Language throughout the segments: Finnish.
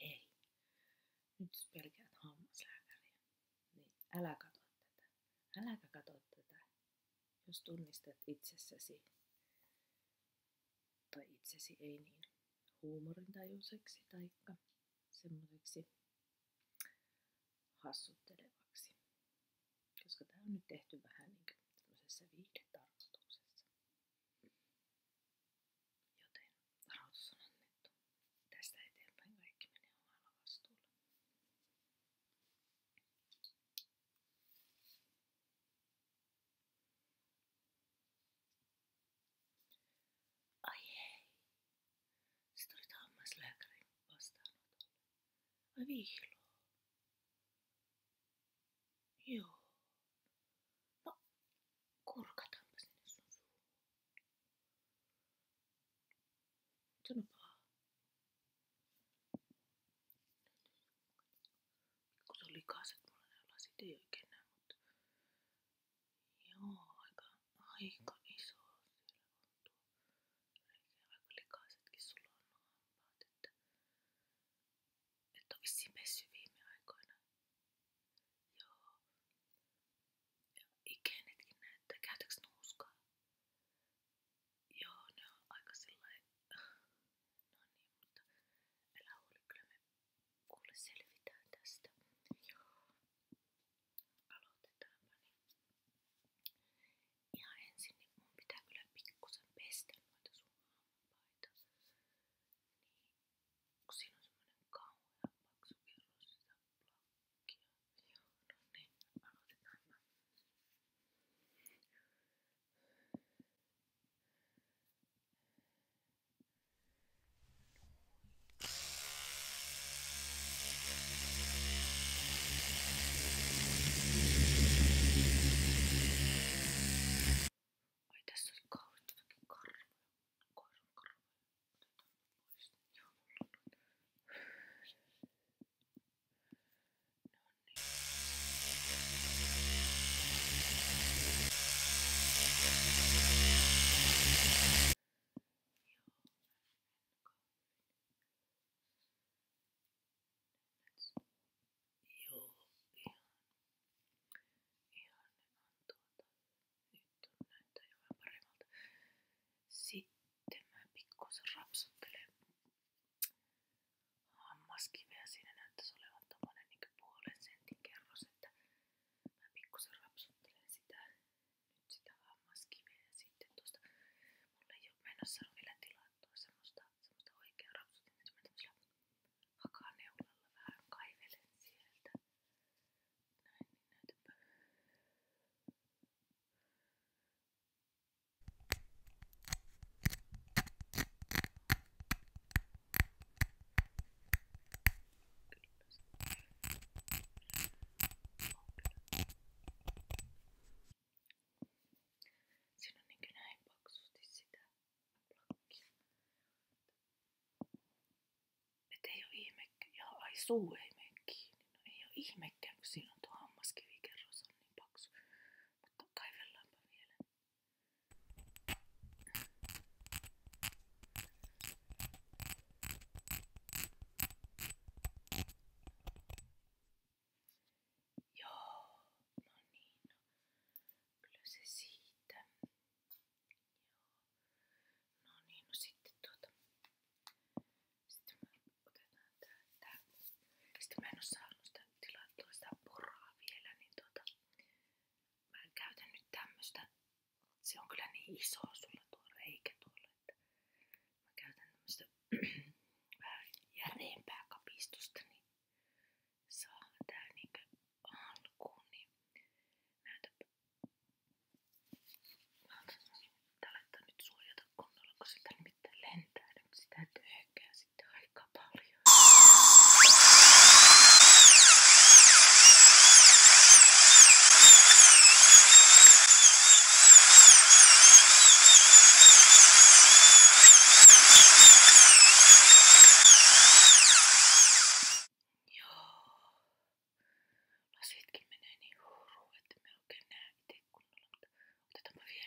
Hei, nyt pelkäät hammaslääkäriä. Niin älä kato tätä. älä kato tätä, jos tunnistat itsessäsi tai itsesi ei niin huumorintajuiseksi tai semmoiseksi hassuttelevaksi. Koska tämä on nyt tehty vähän niin tämmöisessä viihdetarkoituksessa. Joten varoitus on annettu. Tästä eteenpäin kaikki menee omalla vastuulla. Ai hei! Se tuli hammaslääkärin vastaanotolle. Vai vihloo? Joo. No, kurkataanpa sinne sun suuhun. Sanopa. Kun se on likaiset mulla ne lasit, ei oikein näe, mutta... Joo, aika, aika iso tuntuu. Oikein aika likaisetkin sulla on nuo hampaat, että, että on vissiin messy viime aikoina. Joo. Ja ikenetkin näyttää. Käytäks nuuskaa? Joo, ne on aika sillain. No niin, mutta älä huoli, kyllä me kuule selvitään tästä. Joo. Aloitetaanpa niin. Ihan ensin niin mun pitää kyllä pikkusen pestä noita sun hampaita. Niin, kun siinä on semmonen kauhean paksu kerros sitä plakkia. Joo, no niin, aloitetaanpa. Noin. Ai tässä on kauheasti kaikki karvoja. Koiran karvoja. Otetaan pois. Joo, Joo, ihan. Ihan ne tuota, on tuota. Nyt on näyttää jo vähän paremmalta. Sitten mä pikkuisen rapsuttelen hammaskiveä. Siinä näyttäisi olevan tommonen niin puolen sentin kerros, että mä pikkusen rapsuttelen sitä nyt sitä hammaskiveä ja sitten tuosta mulle ei ole menossa on vielä tilattua semmoista, semmoista oikeaa rapsutin, että mä tämmöisellä hakaneulalla vähän kaivelen sieltä näin, niin näytäpä Kyllä Siinä on niin näin paksusti sitä plakkia. ei ole ihmekään. Ja ai suu ei mene kiinni. No ei oo ihmekään, kun siinä on tuo hammaskivikerros on niin paksu. Mutta kaivellaanpa vielä. Joo, no niin, no. kyllä se siitä. Joo. No niin, no sitten tuota. Sitten me otetaan tää, tää. Sitten mä en oo saanut sitä tilattua sitä poraa vielä, niin tuota. Mä käytän nyt tämmöstä se on kyllä niin iso sulla tuo reikä tuolla, että mä käytän tämmöstä vähän järeempää kapistusta, niin saa tää niinkö alkuun, niin näytäpä. Mä otan nyt suojata kunnolla, kun siltä nimittäin lentää niin sitä töhkää sitten aika paljon. No sitkin menee niin huuruun, että me oikein näe itse kunnolla, mutta otetaanpa vielä.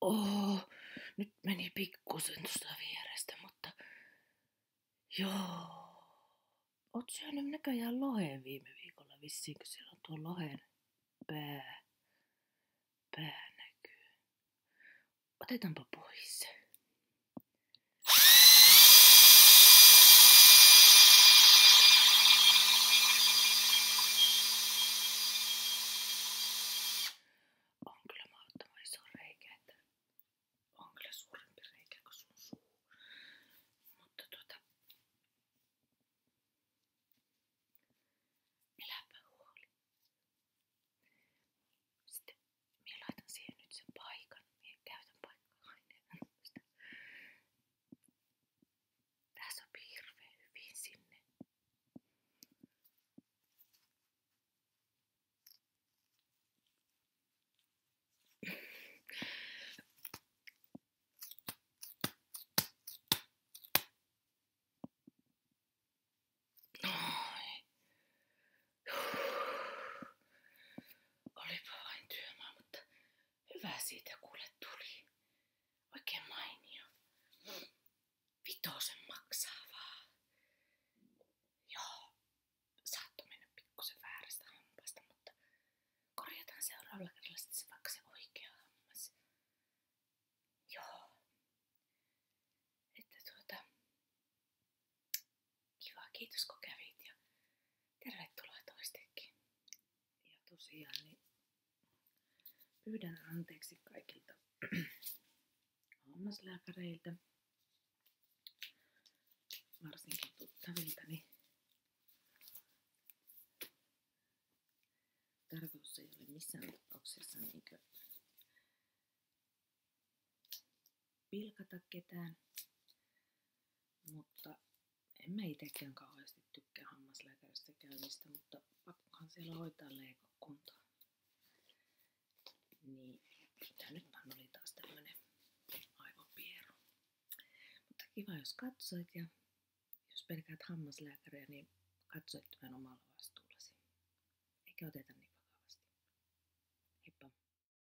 Oh, nyt meni pikkusen tuosta vierestä, mutta joo. Oot syönyt näköjään loheen viime viikolla vissiin, kun siellä on tuo lohen pää, pää näkyy. Otetaanpa pois se. On kyllä mahdottoman iso reikä, että on kyllä suurempi reikä kuin sun suu. Mutta tuota, eläpä huoli. Sitten minä laitan siihen nyt sen paikan. Minä käytän paikkaa aineen. Tää sopii hirveän hyvin sinne. Noin. Olipa vain työmaa, mutta Hyvä siitä kuule tuli. Oikein mainio. Vitosen maksaa vaan. Joo, saattoi mennä pikkusen väärästä hampaasta, mutta korjataan seuraavalla kerralla sitten se vaikka se oikea hammas. Joo. Että tuota, kiva, kiitos kun kävit Tervetuloa toistekin. Ja tosiaan niin pyydän anteeksi kaikilta hammaslääkäreiltä, varsinkin tuttaviltani. Tarkoitus ei ole missään tapauksessa niin pilkata ketään. Mutta en mä itsekään kauheasti tykkää hammaslääkärissä käymistä, mutta pakkohan siellä hoitaa leikakuntaa. Niin, ja nyt vaan oli taas tämmönen aivopieru. Mutta kiva, jos katsoit ja jos pelkäät hammaslääkäriä, niin katsoit tämän omalla vastuullasi. Eikä oteta niin vakavasti. Heippa!